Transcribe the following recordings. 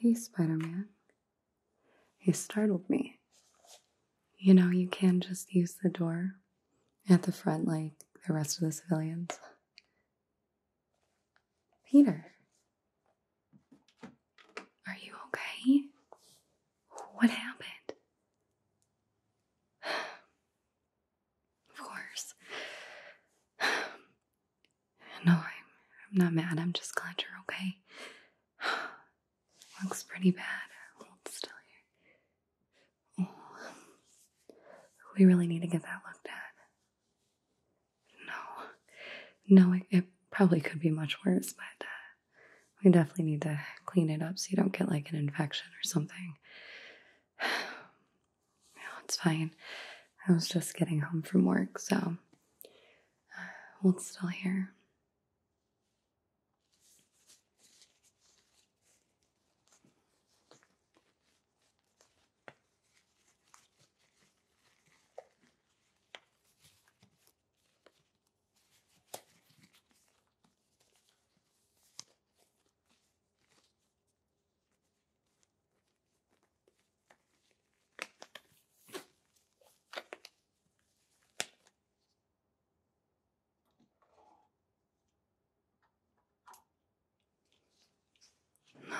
Hey, Spider Man. You startled me. You know, you can just use the door at the front like the rest of the civilians. Peter. Are you okay? What happened? of course. no, I'm, not mad. I'm just glad you're okay. Looks pretty bad. still here. we really need to get that looked at. No, no, it, probably could be much worse, but uh, we definitely need to clean it up so you don't get like an infection or something. it's fine. I was just getting home from work, so hold still here.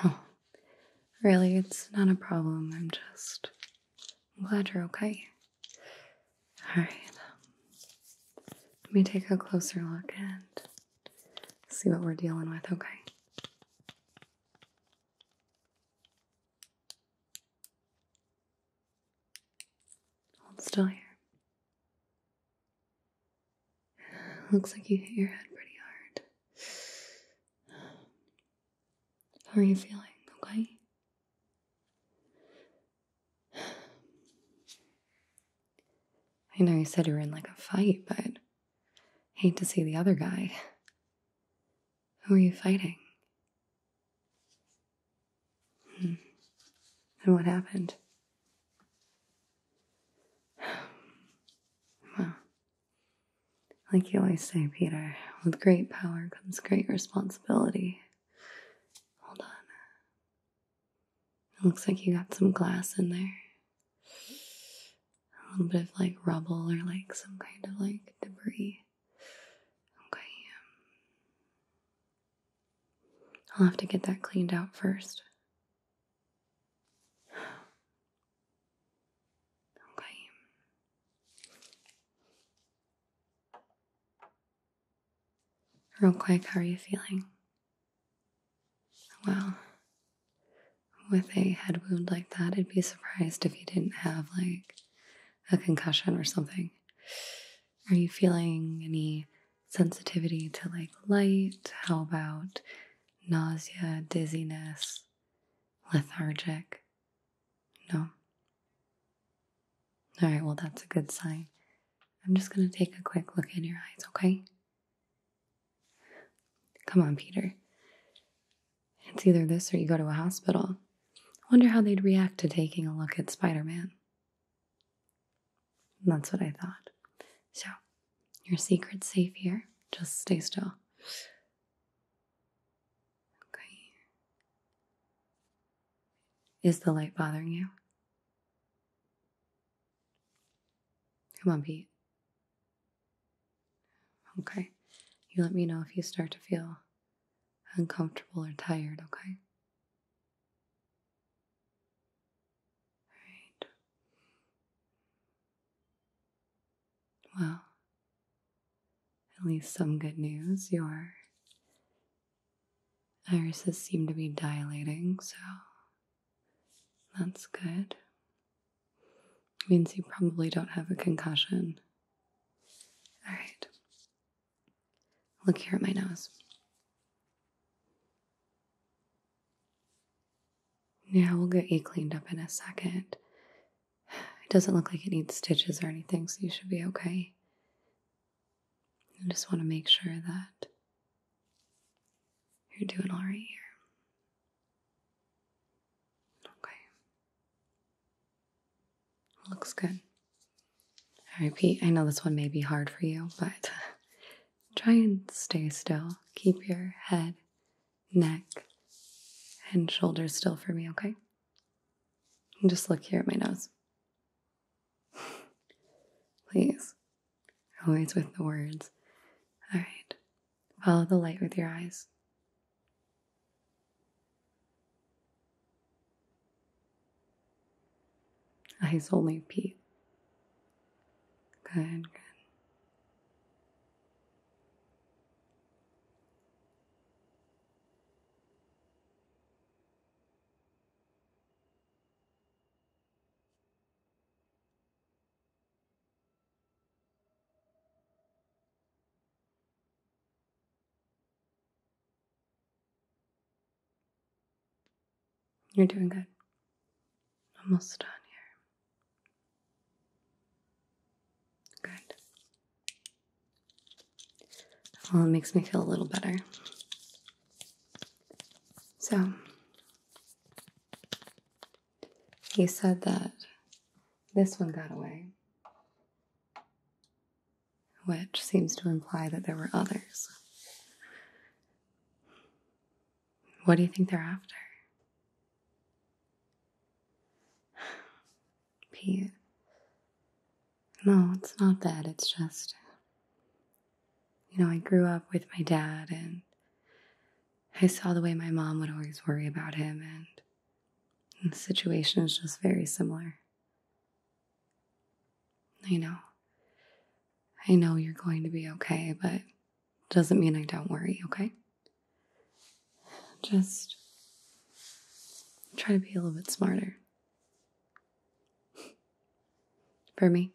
No, really, it's not a problem. I'm just glad you're okay. All right. Let me take a closer look and see what we're dealing with, okay? Hold still here. Looks like you hit your head pretty hard. How are you feeling, okay? I know you said you were in like a fight, but hate to see the other guy. Who are you fighting? Hmm. And what happened? Well, like you always say, Peter, with great power comes great responsibility. Hold on. It looks like you got some glass in there. A little bit of like rubble or like some kind of like debris. Okay. Um, I'll have to get that cleaned out first. Okay. Real quick, how are you feeling? Well, With a head wound like that, I'd be surprised if you didn't have like a concussion or something. Are you feeling any sensitivity to like light? How about nausea, dizziness, lethargic? No? All right, well, that's a good sign. I'm just going to take a quick look in your eyes, okay? Come on, Peter. It's either this or you go to a hospital. wonder how they'd react to taking a look at Spider Man. That's what I thought. So, your secret's safe here. Just stay still. Okay. Is the light bothering you? Come on, Pete. Okay. You let me know if you start to feel uncomfortable or tired, okay? All right. Well, at least some good news. You're. Irises seem to be dilating, so that's good. Means you probably don't have a concussion. All right. Look here at my nose. Yeah, we'll get you cleaned up in a second. It doesn't look like it needs stitches or anything, so you should be okay. I just want to make sure that you're doing all right here. Okay. Looks good. I repeat, I know this one may be hard for you, but try and stay still. Keep your head, neck, and shoulders still for me, okay? And just look here at my nose. Please. Always with the words. All right. Follow the light with your eyes. Eyes only, Pete. Good, good. You're doing good. Almost done here. Good. Well, oh, it makes me feel a little better. So, you said that this one got away, which seems to imply that there were others. What do you think they're after? Pete, no, it's not that. It's just, you know, I grew up with my dad and I saw the way my mom would always worry about him, and the situation is just very similar. I know. I know you're going to be okay, but doesn't mean I don't worry, okay? Just try to be a little bit smarter for me.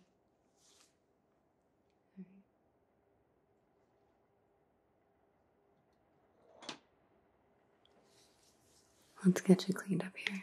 Let's get you cleaned up here.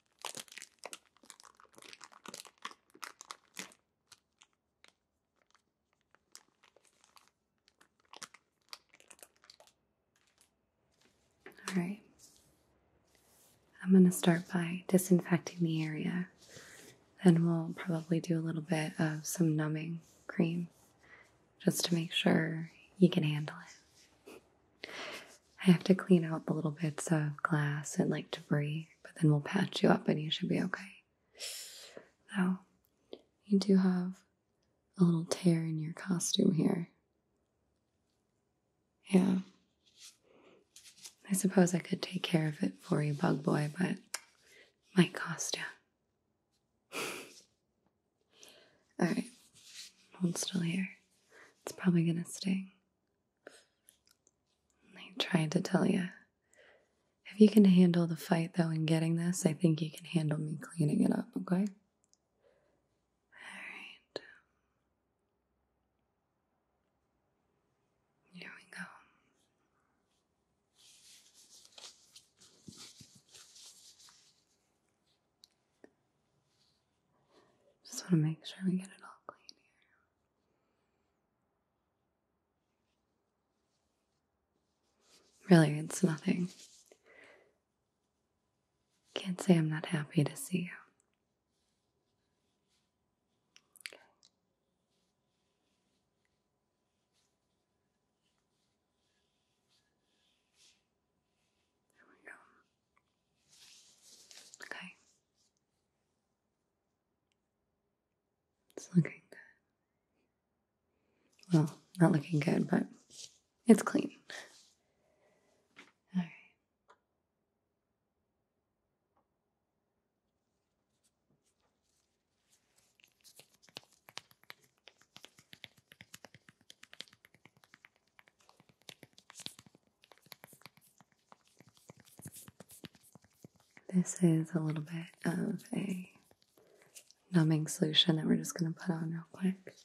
All right. I'm going to start by disinfecting the area. and we'll probably do a little bit of some numbing cream just to make sure you can handle it. I have to clean out the little bits of glass and like debris but then we'll patch you up and you should be okay. Now, you do have a little tear in your costume here. Yeah. I suppose I could take care of it for you, Bug Boy, but my costume. Alright, hold still here. It's probably gonna sting. I tried to tell you. If you can handle the fight, though, in getting this, I think you can handle me cleaning it up, okay? Alright. Here we go. Just want to make sure we get it all clean here. Really, it's nothing. Can't say I'm not happy to see you. There we go. Okay. It's looking good. Well, not looking good, but it's clean. All right. This is a little bit of a numbing solution that we're just going to put on real quick.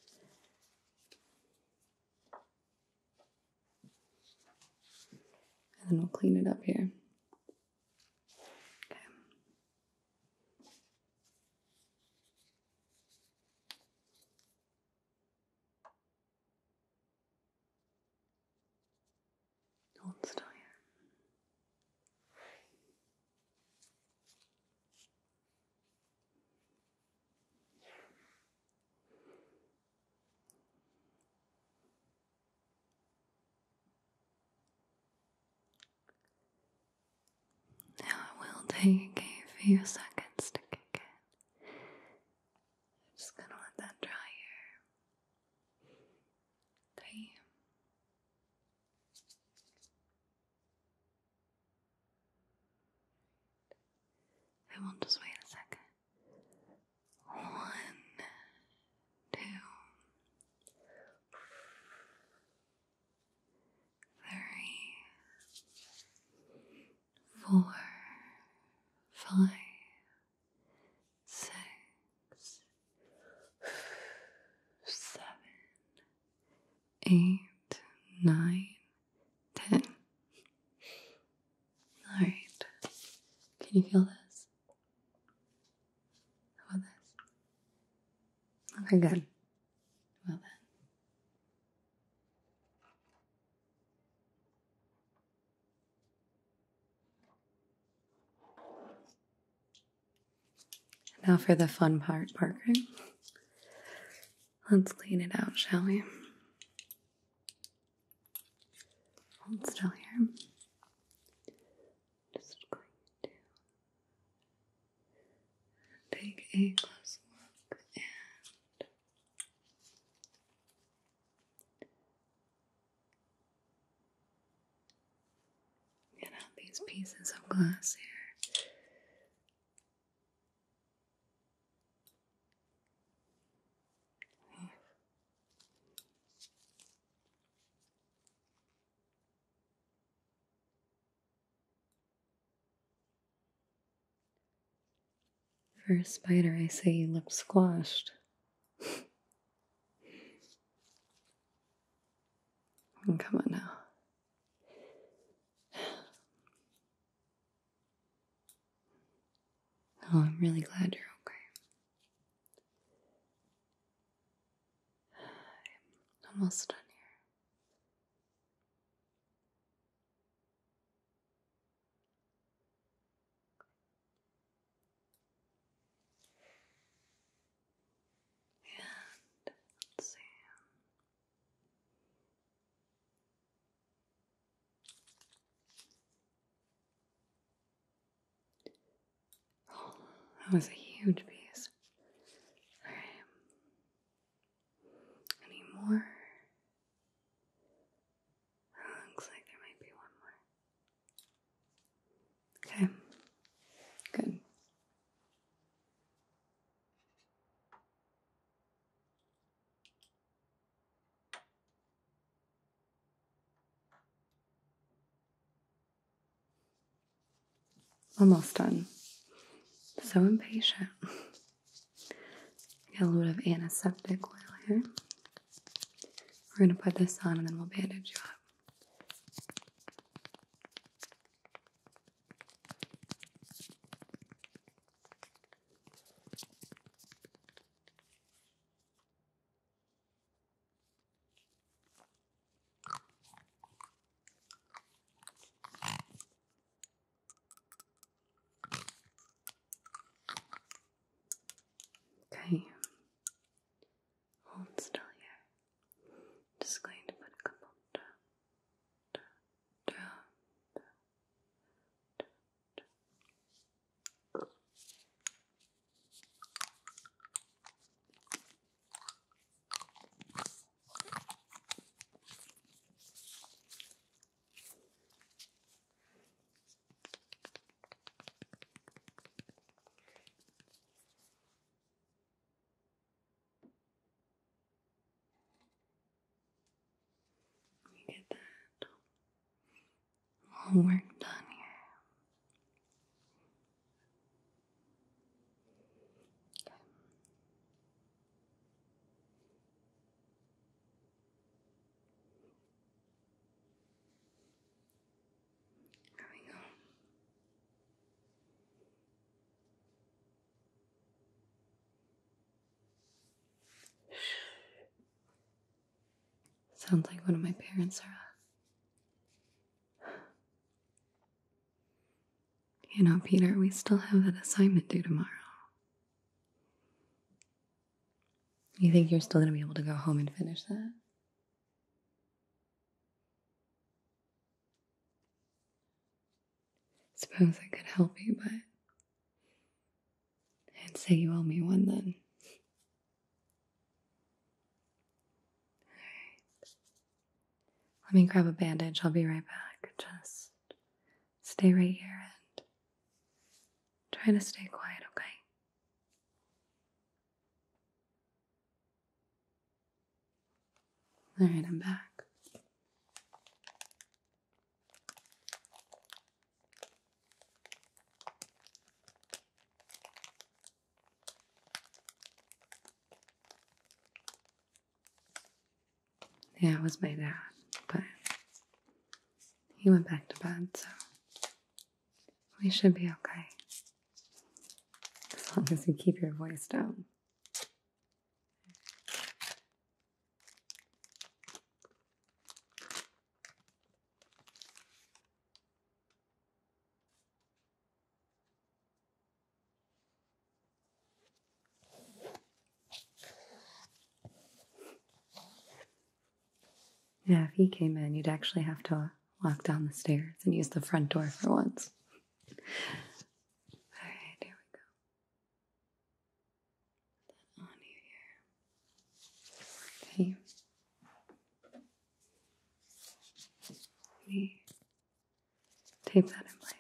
And then we'll clean it up here. Okay. Hornstein. Now I will take a few seconds to just gonna let that dry here. طيب I will just wait a second. One, two, three, four, five, six, seven, eight, nine, ten. All right. Can you feel this? How this? Okay, good. Well then. Now for the fun part, Parker. Let's clean it out, shall we? still here. Just going to take a close look and Get out these pieces of glass here. For a spider, I say you look squashed. Mm, come on now. Oh, I'm really glad you're okay. I'm almost done here. And let's see. Oh, that was a huge piece. Alright. Any more? looks like there might be one more. Okay, good. Almost done. So impatient. Got a little bit of antiseptic oil here. We're going to put this on and then we'll bandage you up. Okay. Hold still here. Just going to put a couple down, down, down, down, we get that all work done here. Okay. There we go. Sounds like one of my parents are. Uh, you know, Peter, we still have that assignment due tomorrow. You think you're still going to be able to go home and finish that? Suppose I could help you, but and say you owe me one then. Alright. Let me grab a bandage. I'll be right back. Just stay right here and try to stay quiet, okay? All right, I'm back. Yeah, it was my dad, but he went back to bed, so we should be okay. As long as you keep your voice down. Yeah, if he came in, you'd actually have to walk down the stairs and use the front door for once. All right, here we go. Put that here. Okay. We tape that in place.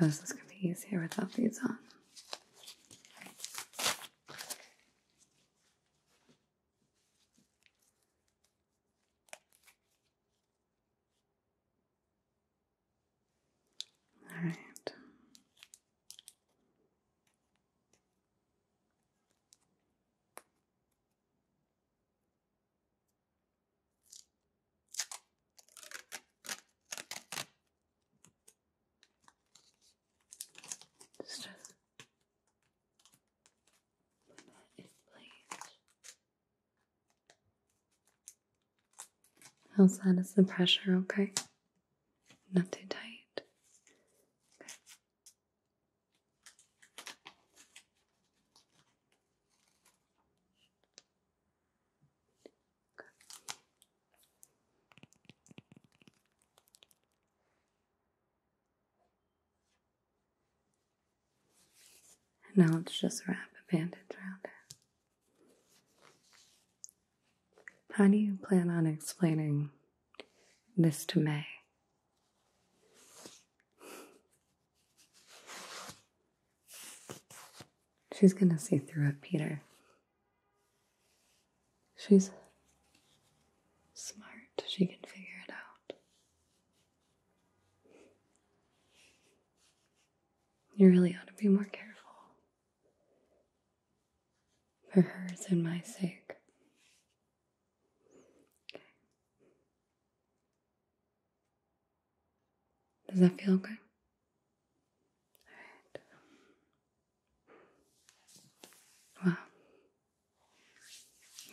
I suppose this could be easier without these on. All right. Just put that How's that? Is the pressure okay? Not too tight. Good. And now let's just wrap a bandage around it. How do you plan on explaining this to May? She's going to see through it, Peter. She's smart. She can figure it out. You really ought to be more careful for hers and my sake. Does that feel good? All right. Wow.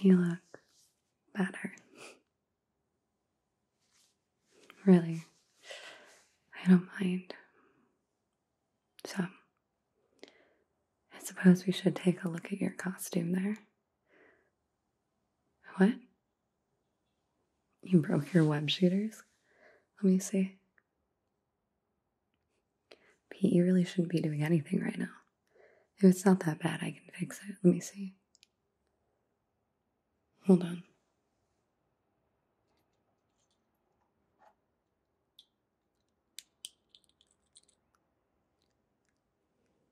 You look better. really, I don't mind so, I suppose we should take a look at your costume there. What? You broke your web shooters? Let me see. Pete, you really shouldn't be doing anything right now. If it's not that bad, I can fix it. Let me see. Hold on.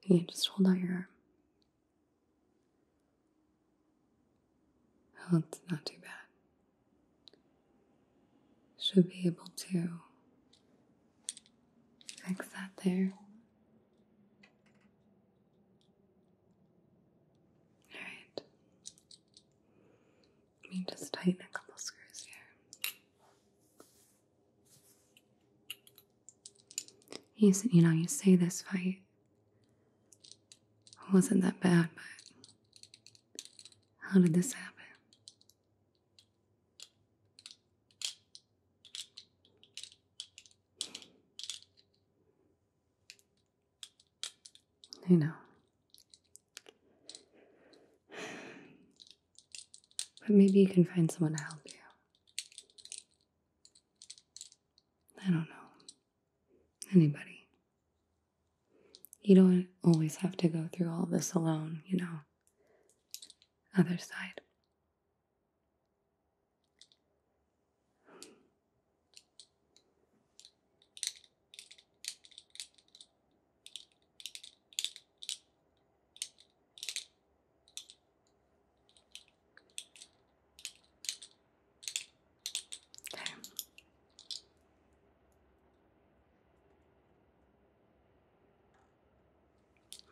Yeah, just hold out your arm. Oh, it's not too bad. Should be able to fix that there. All right. Let me just tighten a couple screws here. You said, you know, you say this fight wasn't that bad, but how did this happen? I know. But maybe you can find someone to help you. I don't know. Anybody. You don't always have to go through all this alone, you know. Other side.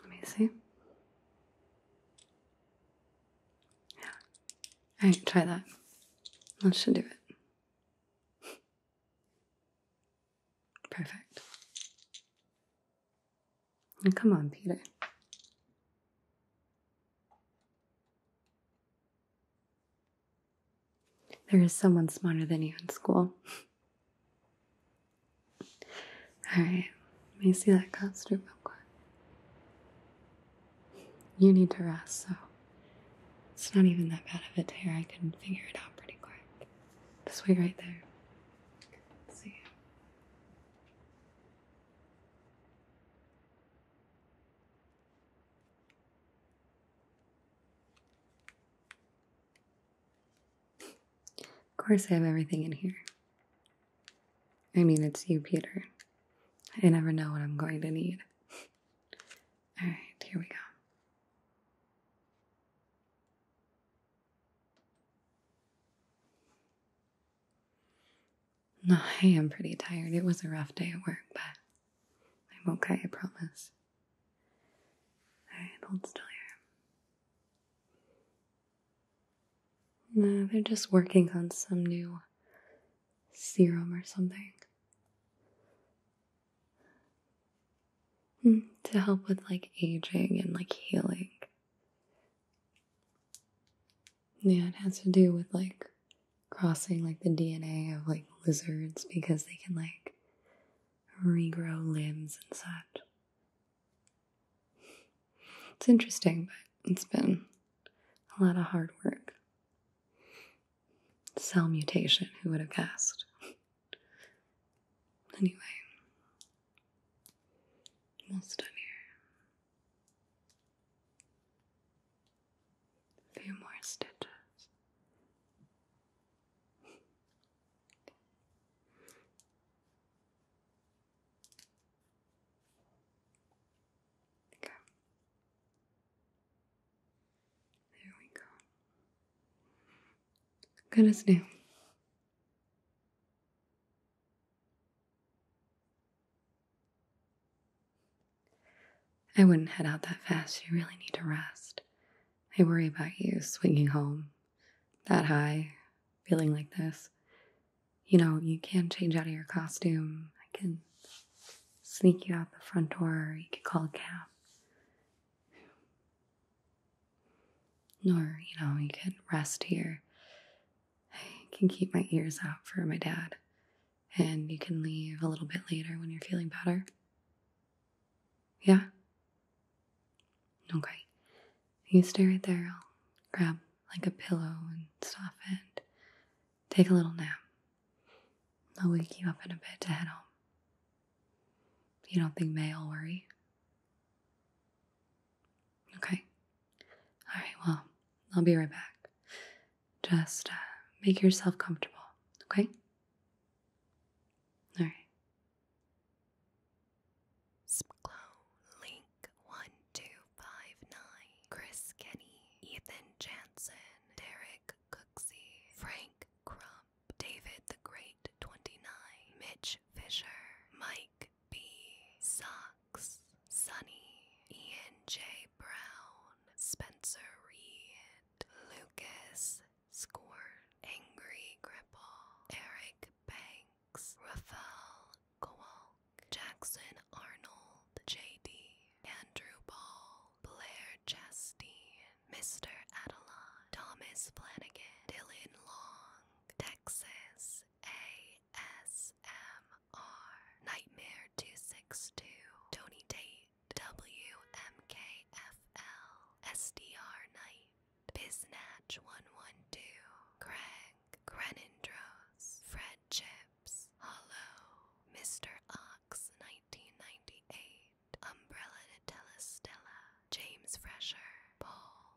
Let me see. Yeah. All right, try that. That should do it. Perfect. come on, Peter. There is someone smarter than you in school. Alright, let me see that costume real quick. You need to rest, so. It's not even that bad of a tear. I can figure it out pretty quick. This way, right there. see. Of course, I have everything in here. I mean, it's you, Peter. I never know what I'm going to need. All right, here we go. No, I am pretty tired. It was a rough day at work, but I'm okay, I promise. Alright, hold still here. No, they're just working on some new serum or something. to help with like aging and like healing. Yeah, it has to do with like crossing like the DNA of like lizards because they can like regrow limbs and such. It's interesting, but it's been a lot of hard work. Cell mutation, who would have guessed? anyway, almost done here. few more stitches. Okay. There we go. Good as new. I wouldn't head out that fast. You really need to rest. I worry about you swinging home that high, feeling like this. You know, you can change out of your costume. I can sneak you out the front door. You could call a cab. Nor, you know, you can rest here. I can keep my ears out for my dad. And you can leave a little bit later when you're feeling better. Yeah? Okay. You stay right there. I'll grab like a pillow and stuff and take a little nap. I'll wake you up in a bit to head home. You don't think May will worry? Okay. All right, well, I'll be right back. Just uh, make yourself comfortable, okay? All right. Splow, 1259, Chris Kenny, Ethan Jansen, Derek Cooksey, Frank Crump, David the Great 29, Mitch Fisher, Mike B, Socks, Sonny, Ian J. Brown, Spencer Reed, Lucas Score, Angry Cripple, Eric Banks, Raphael Kowalk, Jackson Arnold, J.D., Andrew Ball, Blair Chasteen, Mr. Adelon, Thomas Flanagan, Dylan Long, Texas ASMR, Nightmare 262, Tony Tate, WMKFL, SDR Knight, Biznatch112, Craig, Grenindros, Fred Chips, Hello, Mr. Ox 1998, Umbrella to James Fresher, Paul,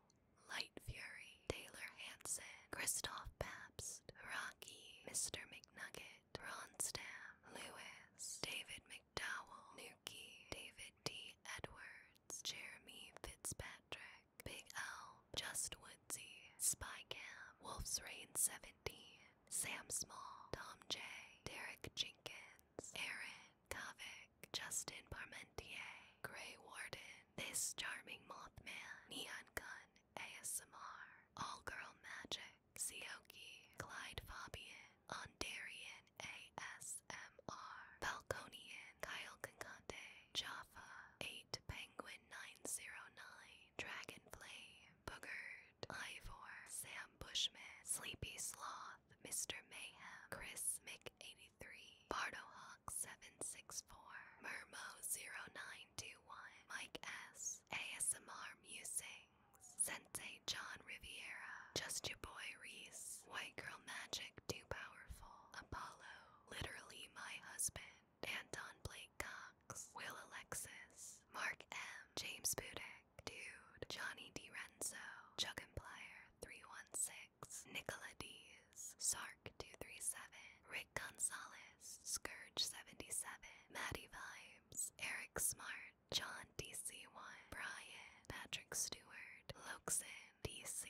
Light Fury, Taylor Hanson, Christoph Pabst, Rocky, Mr. McNugget, Ron Ronstam, Lewis, David McDowell, Nuki, David D. Edwards, Jeremy Fitzpatrick, Big L, Just Woodsy, Spycam, Wolf's Reign Seventy. Sam Small, Tom J, Derek Jenkins, Aaron Kovic, Justin Parmentier, Gray Warden, This Charming Mothman, Neon Gun, ASMR, All Girl Magic, Sioki, Clyde Fabian, Ondarian ASMR, Falconian, Kyle Concante, Jaffa, 8 Penguin 909, Dragonfly. Booger, Ivor, Sam Bushman, Sleepy Sloth, Mr. Mayhem, Chris Mick83, BardoHawk764, Murmo0921, Mike S, ASMR Musings, Sensei John Riviera, Just Your Boy Reese, White Girl Magic Too Powerful, Apollo, Literally My Husband, Anton Blake Cox, Will Alexis, Mark M, James Budek, Dude, Johnny DiRenzo, Chuggenplier316, Nicola Dees, Sark237, Rick Gonzalez, Scourge77, Maddie Vibes, Eric Smart, John DC1, Brian, Patrick Stewart, Loxin, DC.